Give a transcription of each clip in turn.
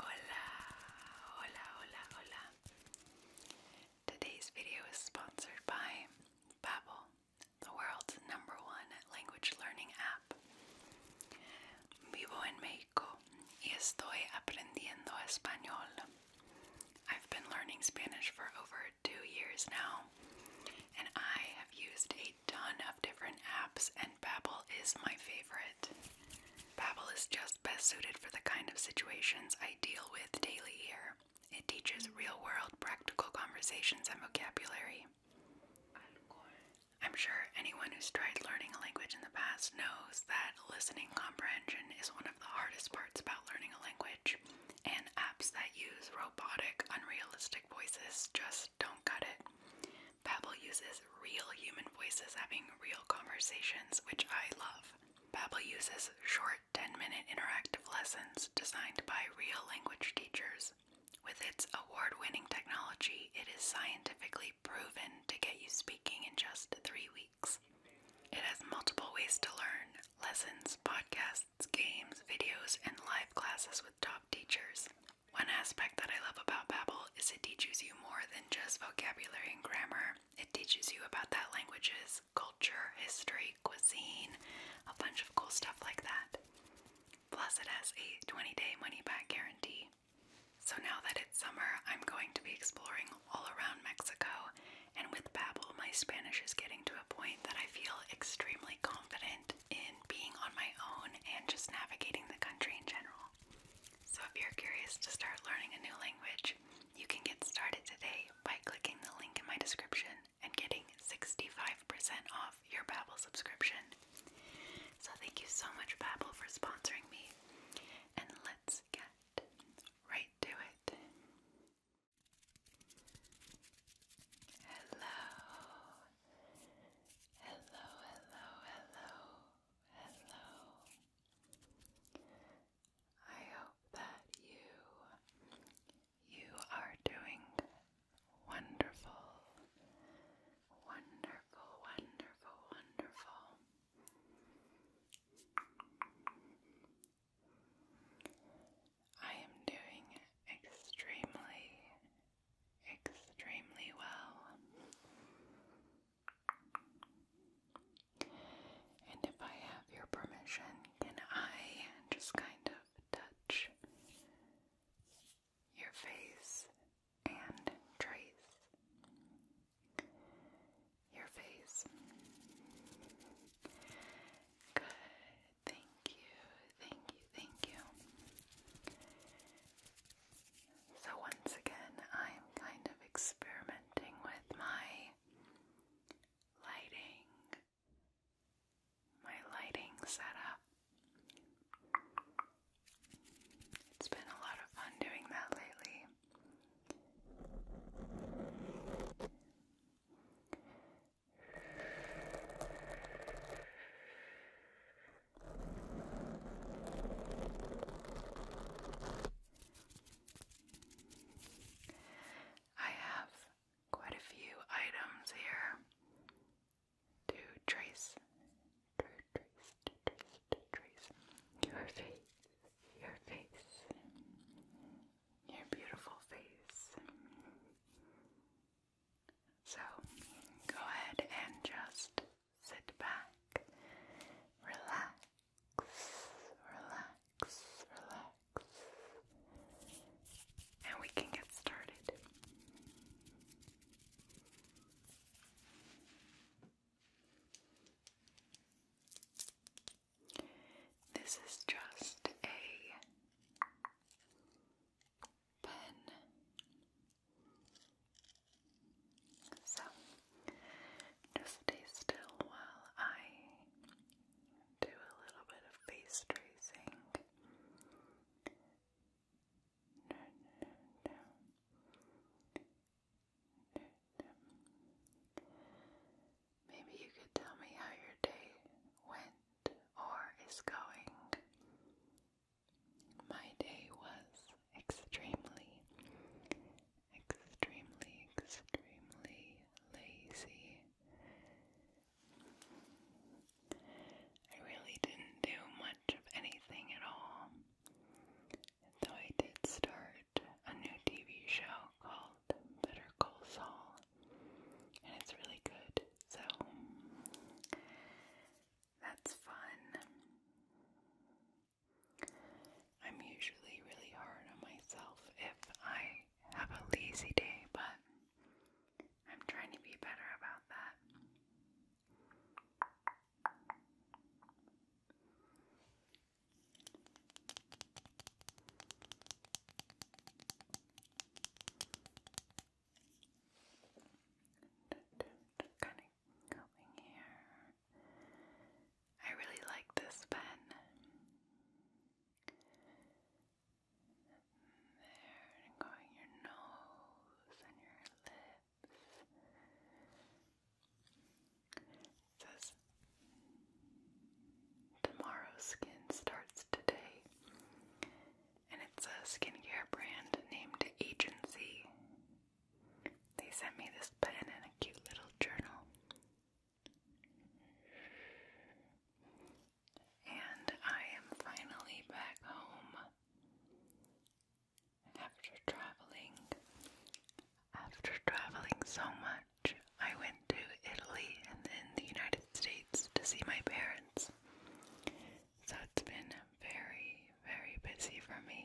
Hola, hola, hola, hola. Today's video is sponsored by Babbel, the world's number one language learning app. Vivo en Mexico y estoy aprendiendo español. I've been learning Spanish for over two years now, and I have used a ton of different apps, and Babbel is my favorite it. Babbel is just best suited for the kind of situations I deal with daily here. It teaches real-world practical conversations and vocabulary. I'm sure anyone who's tried learning a language in the past knows that listening comprehension is one of the hardest parts about learning a language, and apps that use robotic, unrealistic voices just just don't cut it. Babbel uses real human voices having real conversations, which I love. Babbel uses short 10-minute interactive lessons designed by real language teachers. With its award-winning technology, it is scientifically proven to get you speaking in just 3 weeks. It has multiple ways to learn: lessons, podcasts, games, videos, and live classes with top teachers. One aspect that I love about Babbel is it teaches you more than just vocabulary and grammar. It teaches you about that language's culture, history, cuisine, a bunch of cool stuff like that. Plus, it has a 20-day money-back guarantee. So now that it's summer, I'm going to be exploring all around Mexico, and with Babbel, my Spanish is getting to a point that I feel extremely confident in being on my own and just navigating the country in general. So if you're curious to start learning a new language, you can get started today by clicking the link in my description and getting 65% off your Babbel subscription. So thank you so much Babbel for sponsoring me. And let's get right to it. Hello. Hello, hello, hello hello. I hope that you you are doing wonderful. Wonderful, wonderful, wonderful. I am doing extremely extremely well. And if I have your permission, can I just kind of touch your face and trace your face? Good. Thank you, thank you, thank you. So, once again, I'm kind of experimenting with my lighting, my lighting setup. It's been a lot of fun doing that lately. I have quite a few items here to trace, to trace, trace, trace your face, your face, your beautiful face. So go ahead and just sit back, relax, relax, relax, and we can get started. This is just a pen so, just stay still while I do a little bit of face tracing. Maybe you could tell me how your day went or is going. My day was extremely, extremely, extremely lazy. I really didn't do much of anything at all. Though I did start a new TV show called Better Call Saul, and it's really good. So that's fun. I'm usually really hard on myself if I have a lazy day, but I'm trying to be better about that. I really like this pen. There, going your nose and your lips. says, Tomorrow's skin starts today and it's a skincare brand named Agency. They sent me this pen and a cute little journal. And I am finally back home after traveling. After traveling so much, I went to Italy and then the United States to see my parents. So it's been very, very busy for me.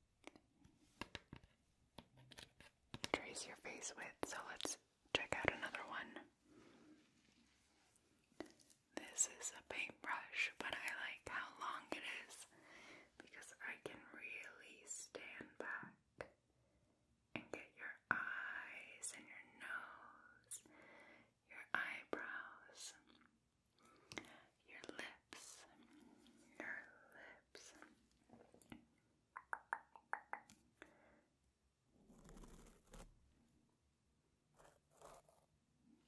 trace your face with. So let's check out another one. This is a paintbrush, but I like how long it is because I can really stand back and get your eyes and your nose, your eyebrows your lips, your lips.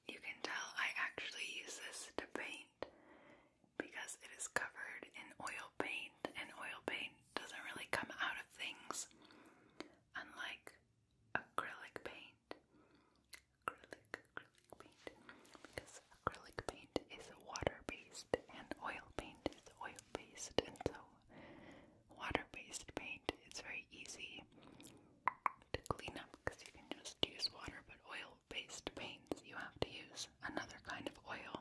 You can tell I actually use this to paint because it is covered in oil paint, and oil paint doesn't really come out of things unlike acrylic paint acrylic paint because acrylic paint is water-based and oil paint is oil-based and so water-based paint it's very easy to clean up because you can just use water but oil-based paints you have to use another kind of oil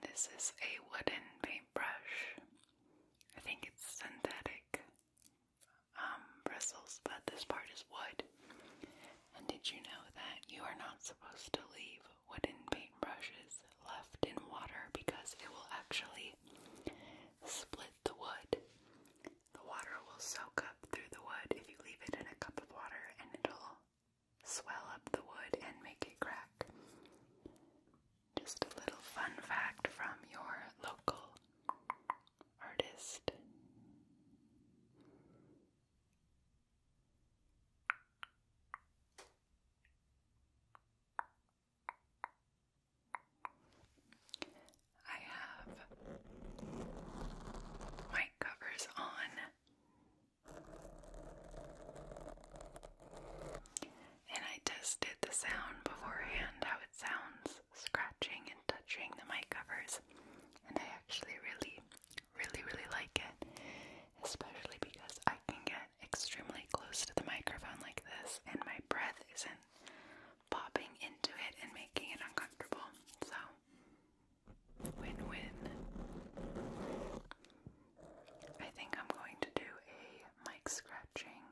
This is a wooden paintbrush. I think it's synthetic um, bristles, but this part is wood. And did you know that you are not supposed to leave wooden paintbrushes left in water because it will actually split the wood? The water will soak up through the wood if you leave it in a cup of water and it'll swell up the wood and make it crack. Just a little fun fact from your local artist. I have mic covers on, and I tested the sound beforehand how it sounds scratching and touching the mic covers, and I actually really, really, really like it, especially because I can get extremely close to the microphone like this, and my breath isn't popping into it and making it uncomfortable. So, win win. I think I'm going to do a mic scratching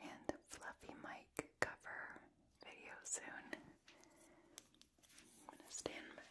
and fluffy mic cover video soon. I'm going to stand back.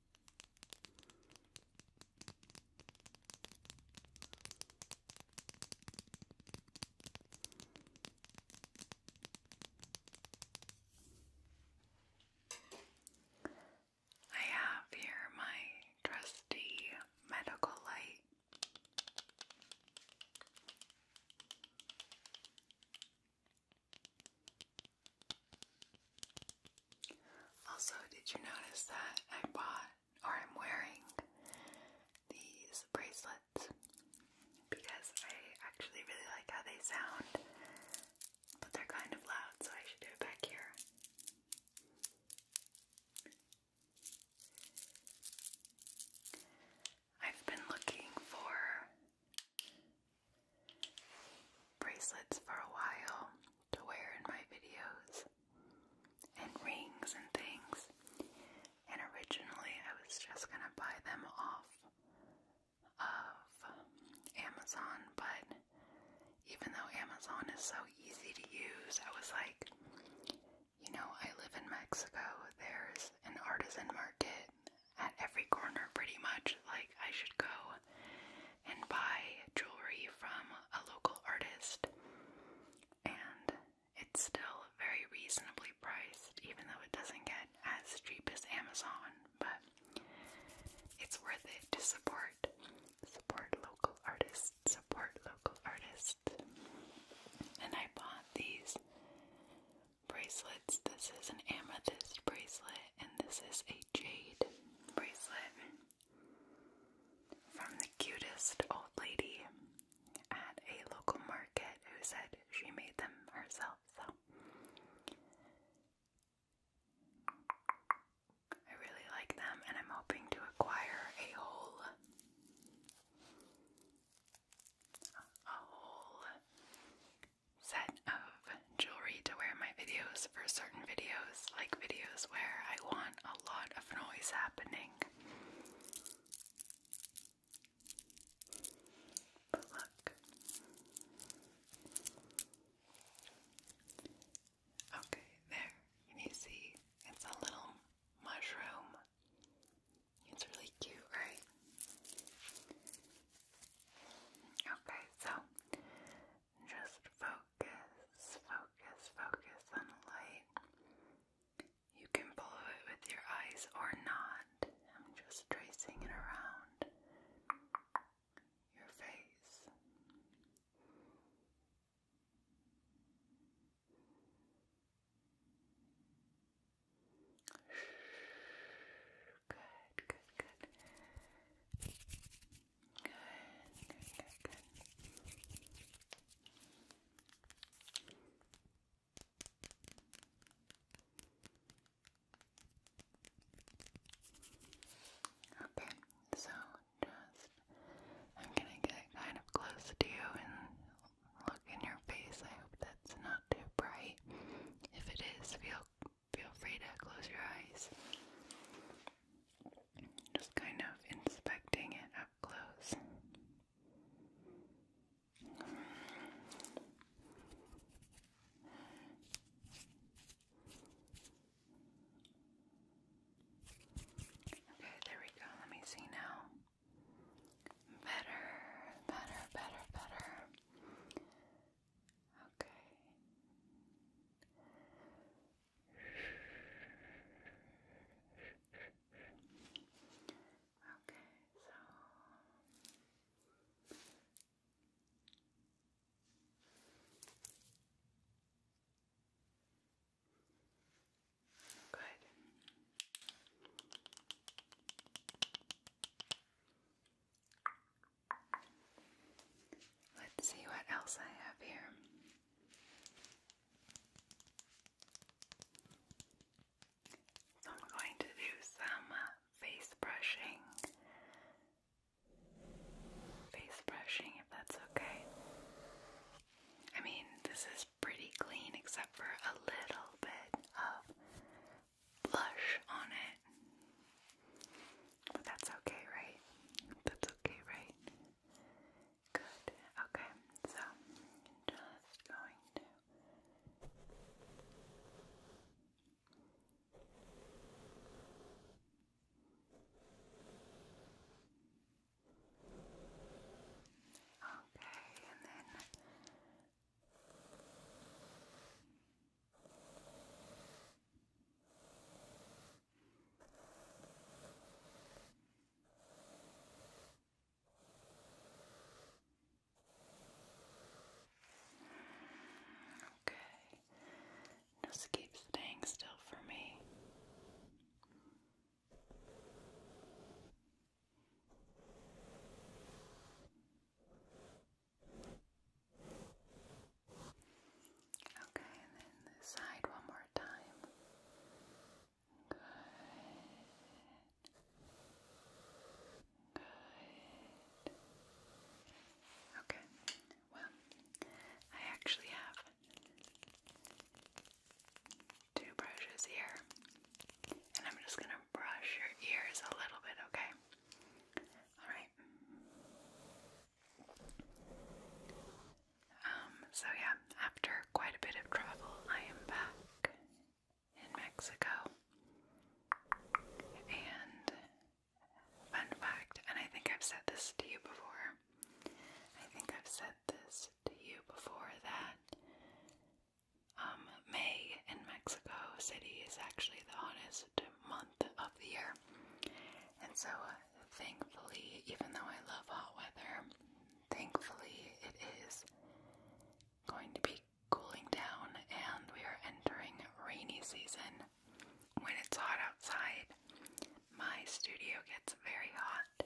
I have here my trusty medical light. Also, did you notice that I bought or I'm wearing these bracelets because I actually really like how they sound, but they're kind of loud, so I should do it back here. I've been looking for bracelets for a while to wear in my videos, and rings and things. And originally, I was just gonna buy them off of Amazon, but even though Amazon is so easy to use, I was like, you know, I live in Mexico, there's an artisan market at every corner pretty much. Like I should go and buy jewelry from a local artist and it's still very reasonably priced even though it doesn't get as cheap as Amazon, but it's worth it to support support local artists, support local artists. And I bought these bracelets. This is an amethyst bracelet, and this is a jade bracelet from the cutest old lady at a local market who said she made them herself. So I really like them, and I'm hoping to acquire a whole, a whole set of jewelry to wear in my videos for certain videos, like videos where I want a lot of noise happening. But look. Okay, there. you see? It's a little mushroom. It's really cute, right? Okay, so just focus, focus, focus on the light. You can follow it with your eyes or not. I'm just tracing it around your face. Good, good, good. Good, good, good, Okay, so just I'm gonna get kind of close to you and look in your face. I hope that's not too bright. If it is, feel feel free to close your eyes. Just kind of inspecting it up close. Okay, there we go. Let me see now. Better, better, better, better. Okay. Okay, so good. Let's see what else I have here. So I'm going to do some uh, face brushing. Face brushing, if that's okay. I mean, this is pretty clean except for a little bit of blush on it. But that's okay, right? That's okay, right? Good. Okay, so just going to Okay, and then Okay, just keep staying still for me. Okay, and then this side one more time. Good. Good. Okay, well, I actually have two brushes here, and I'm just going to brush your ears a little bit, okay? All right. Um, so yeah, after quite a bit of travel, I am back in Mexico. And fun fact, and I think I've said this to you before. I think I've said this to you before that um, May in Mexico City is actually the hottest month of the year. And so, uh, thankfully, even though I love hot weather, thankfully it is going to be cooling down and we are entering rainy season. When it's hot outside, my studio gets very hot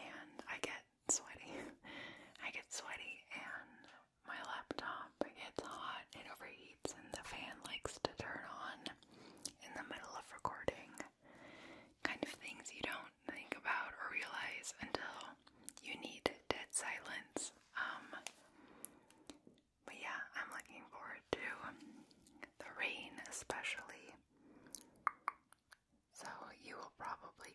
and I get sweaty. I get sweaty and my laptop gets hot, it overheats, and the fan likes to turn on in the middle of recording. Kind of things you don't think about or realize until you need dead silence. Um, but yeah, I'm looking forward to the rain, especially. So, you will probably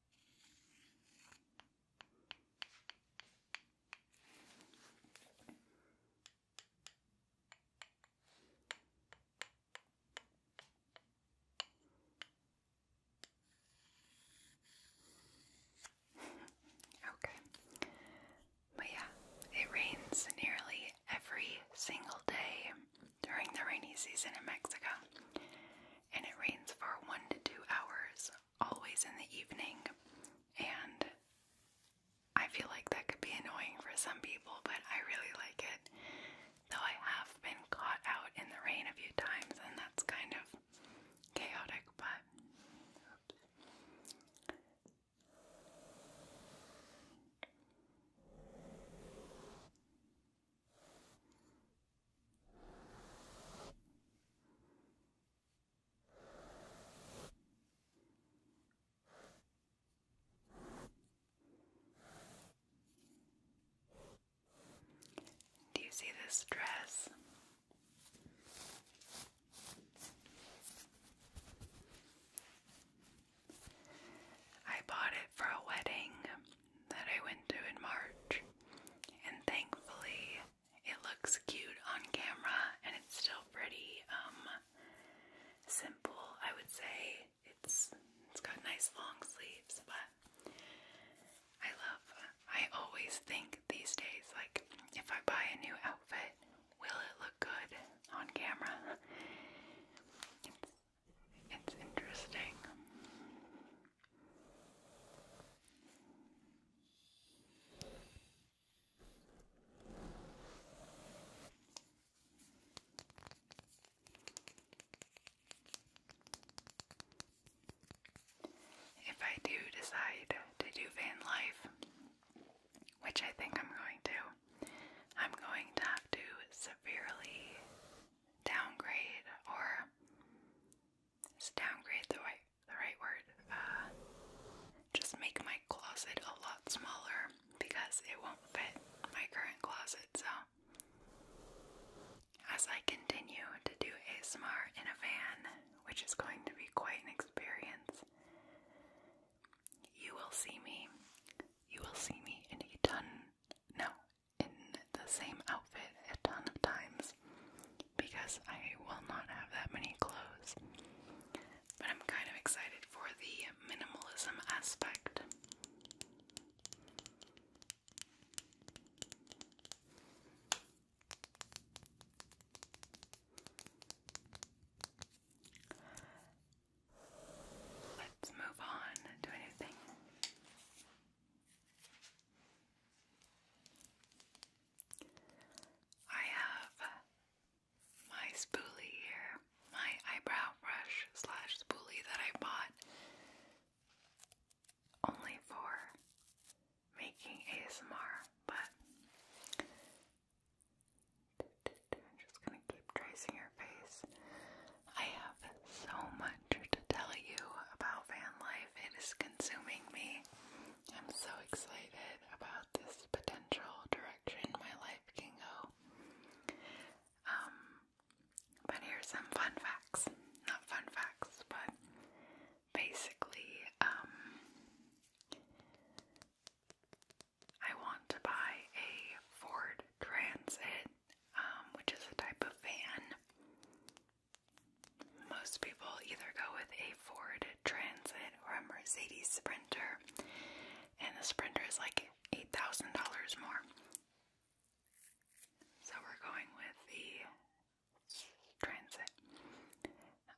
Okay. But yeah, it rains nearly every single day during the rainy season in Mexico, and it rains for one to two hours, always in the evening. And I feel like that could be annoying for some people, but I really like it. Though I have been caught out in the rain a few times, and that's kind of chaotic, but. Do you see this dress? I bought it for a wedding that I went to in March, and thankfully it looks cute on camera and it's still pretty um simple, I would say. It's it's got nice long sleeves, but I love I always think these days like if I buy a new outfit, will it look good on camera? It's interesting. If I do decide to do van life, which I think I'm going to, I'm going to have to severely downgrade or is downgrade the right the right word? Uh, just make my closet a lot smaller because it won't fit my current closet. So as I continue to do ASMR in a van, which is going to be quite an experience, you will see me. You will see me in a ton, no, in the same outfit a ton of times because I will not have that many clothes. But I'm kind of excited for the minimalism aspect. Let's move on to anything. I have my spoolie here, my eyebrow brush slash spoolie that I bought only for making ASMR, but I'm just gonna keep tracing your face. I have so much to tell you about van life. It is consuming me. I'm so excited about this potential direction my life can go. Um, but here's some fun facts. Not fun facts, but basically, um, I want to buy a Ford Transit um, which is a type of van. Most people either go with a Ford Transit or a Mercedes Sprinter, and the Sprinter is like $8,000 more. So we're going with the Transit.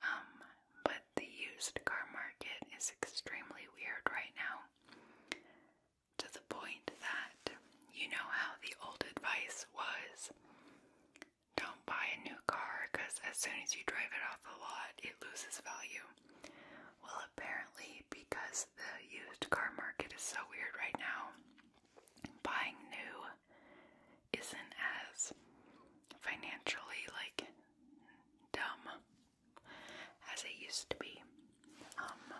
Um, but the used car market is extremely weird right now to the point that you know how the old advice was don't buy a new car because as soon as you drive it off the lot, it loses value. Well, apparently, because the used car market is so weird right now, buying new isn't as financially like dumb as it used to be. Um,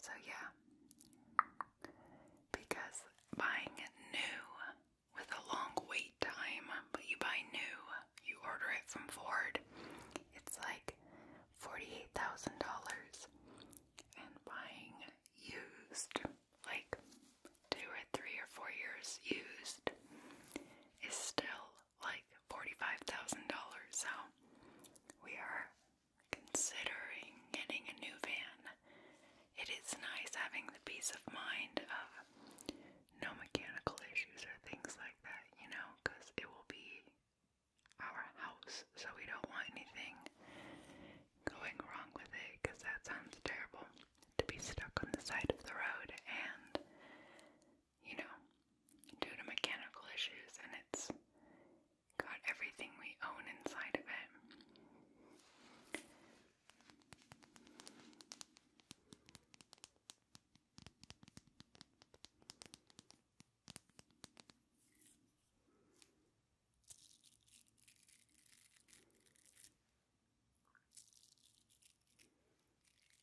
so yeah, because buying new with a long wait time, but you buy new, you order it from Ford, it's like $48,000. And buying used, like two or three or four years used, is still like $45,000, so we are considering getting a new van. It is nice having the peace of mind of no mechanical issues or things like that, you know, because it will be our house, so we don't want anything going wrong with it because that sounds terrible to be stuck on the side of the road and you know, due to mechanical issues, and it's got everything we own inside of it.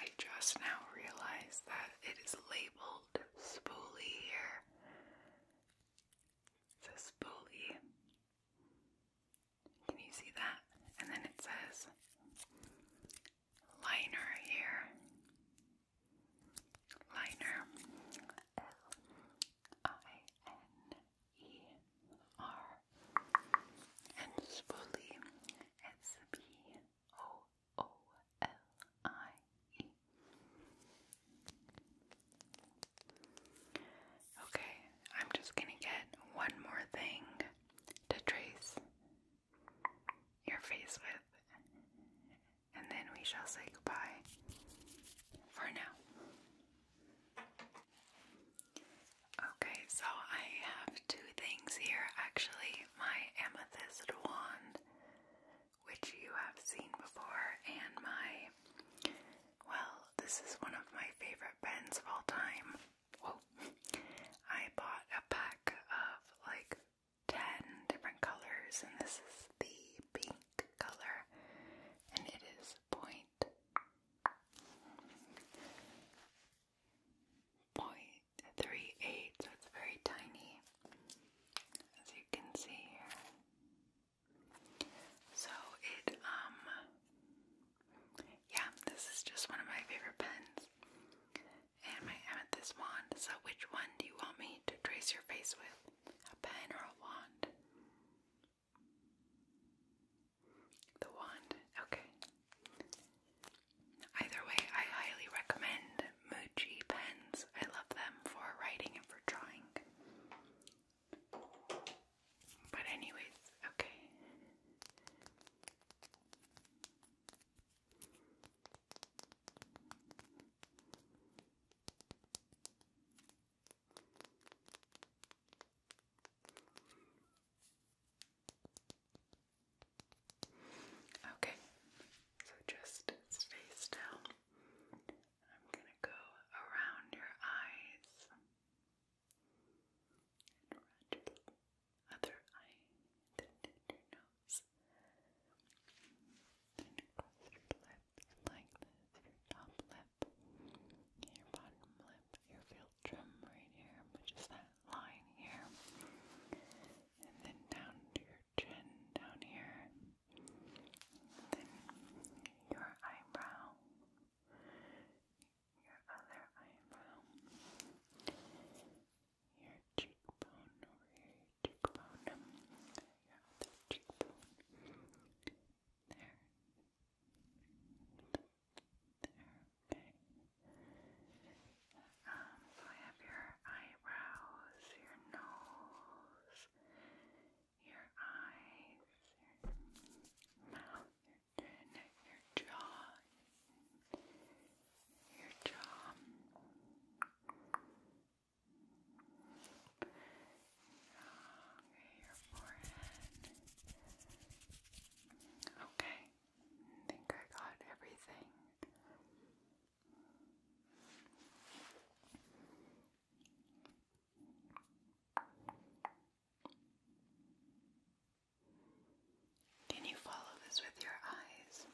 I just now realized that it is labeled spoolie here. It says spoolie. Can you see that? And then it says liner here. Liner. L-I-N-E-R. And spoolie. S-P-O-O-L-I-E. O O L I E. Okay, I'm just going to get one more thing to trace your face with, and then we shall say goodbye for now. Okay, so I have two things here actually my amethyst wand, which you have seen before, and my, well, this is one of my favorite pens of all time. Whoa! I bought a pack of like 10 different colors, and this is the pink color, and it is point. Point three eight, so it's very tiny, as you can see here. So it um yeah, this is just one of my favorite pens. And my amethyst wand. So which one do you want me to trace your face with? A pen or a wand? The wand. Okay. Either way, I highly recommend Muji pens. I love them for writing and for drawing. But anyways, okay. Okay, so just face down. I'm gonna go around your eyes around your other eye, then down your nose, then across your lips like this, your top lip, your bottom lip, your filtrum right here, which that line here, and then down to your chin down here, then your eyebrow, your other eyebrow, your cheekbone over your cheekbone, your other cheekbone, there, there. Um, so I have your eyebrows, your nose, your eyes, mouth, chin, your jaw, your jaw. your forehead. Okay, I think I got everything. Can you follow this with your eyes?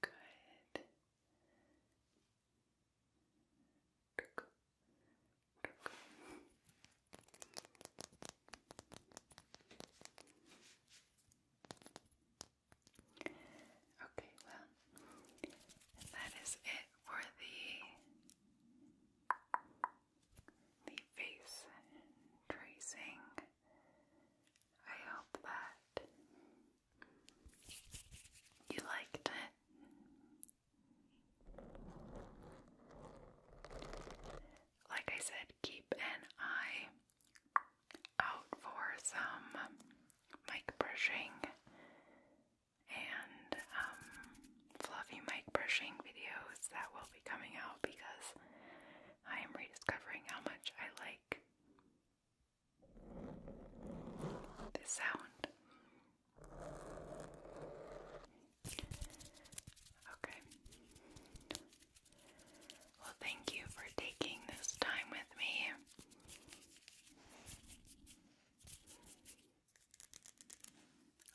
Good. Okay, well, that is it for the the face tracing. I hope that you liked it? Like I said, keep an eye out for some mic brushing and um, fluffy mic brushing videos that will be coming out because I am rediscovering how much I like this sound. Okay. Well, thank you for taking this time with me.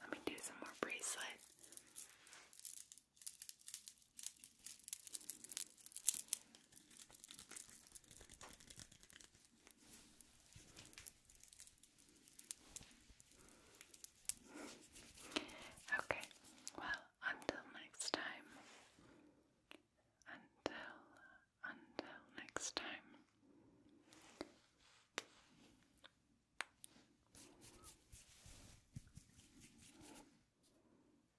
Let me do some more bracelet. Okay, well, until next time, until, until next time,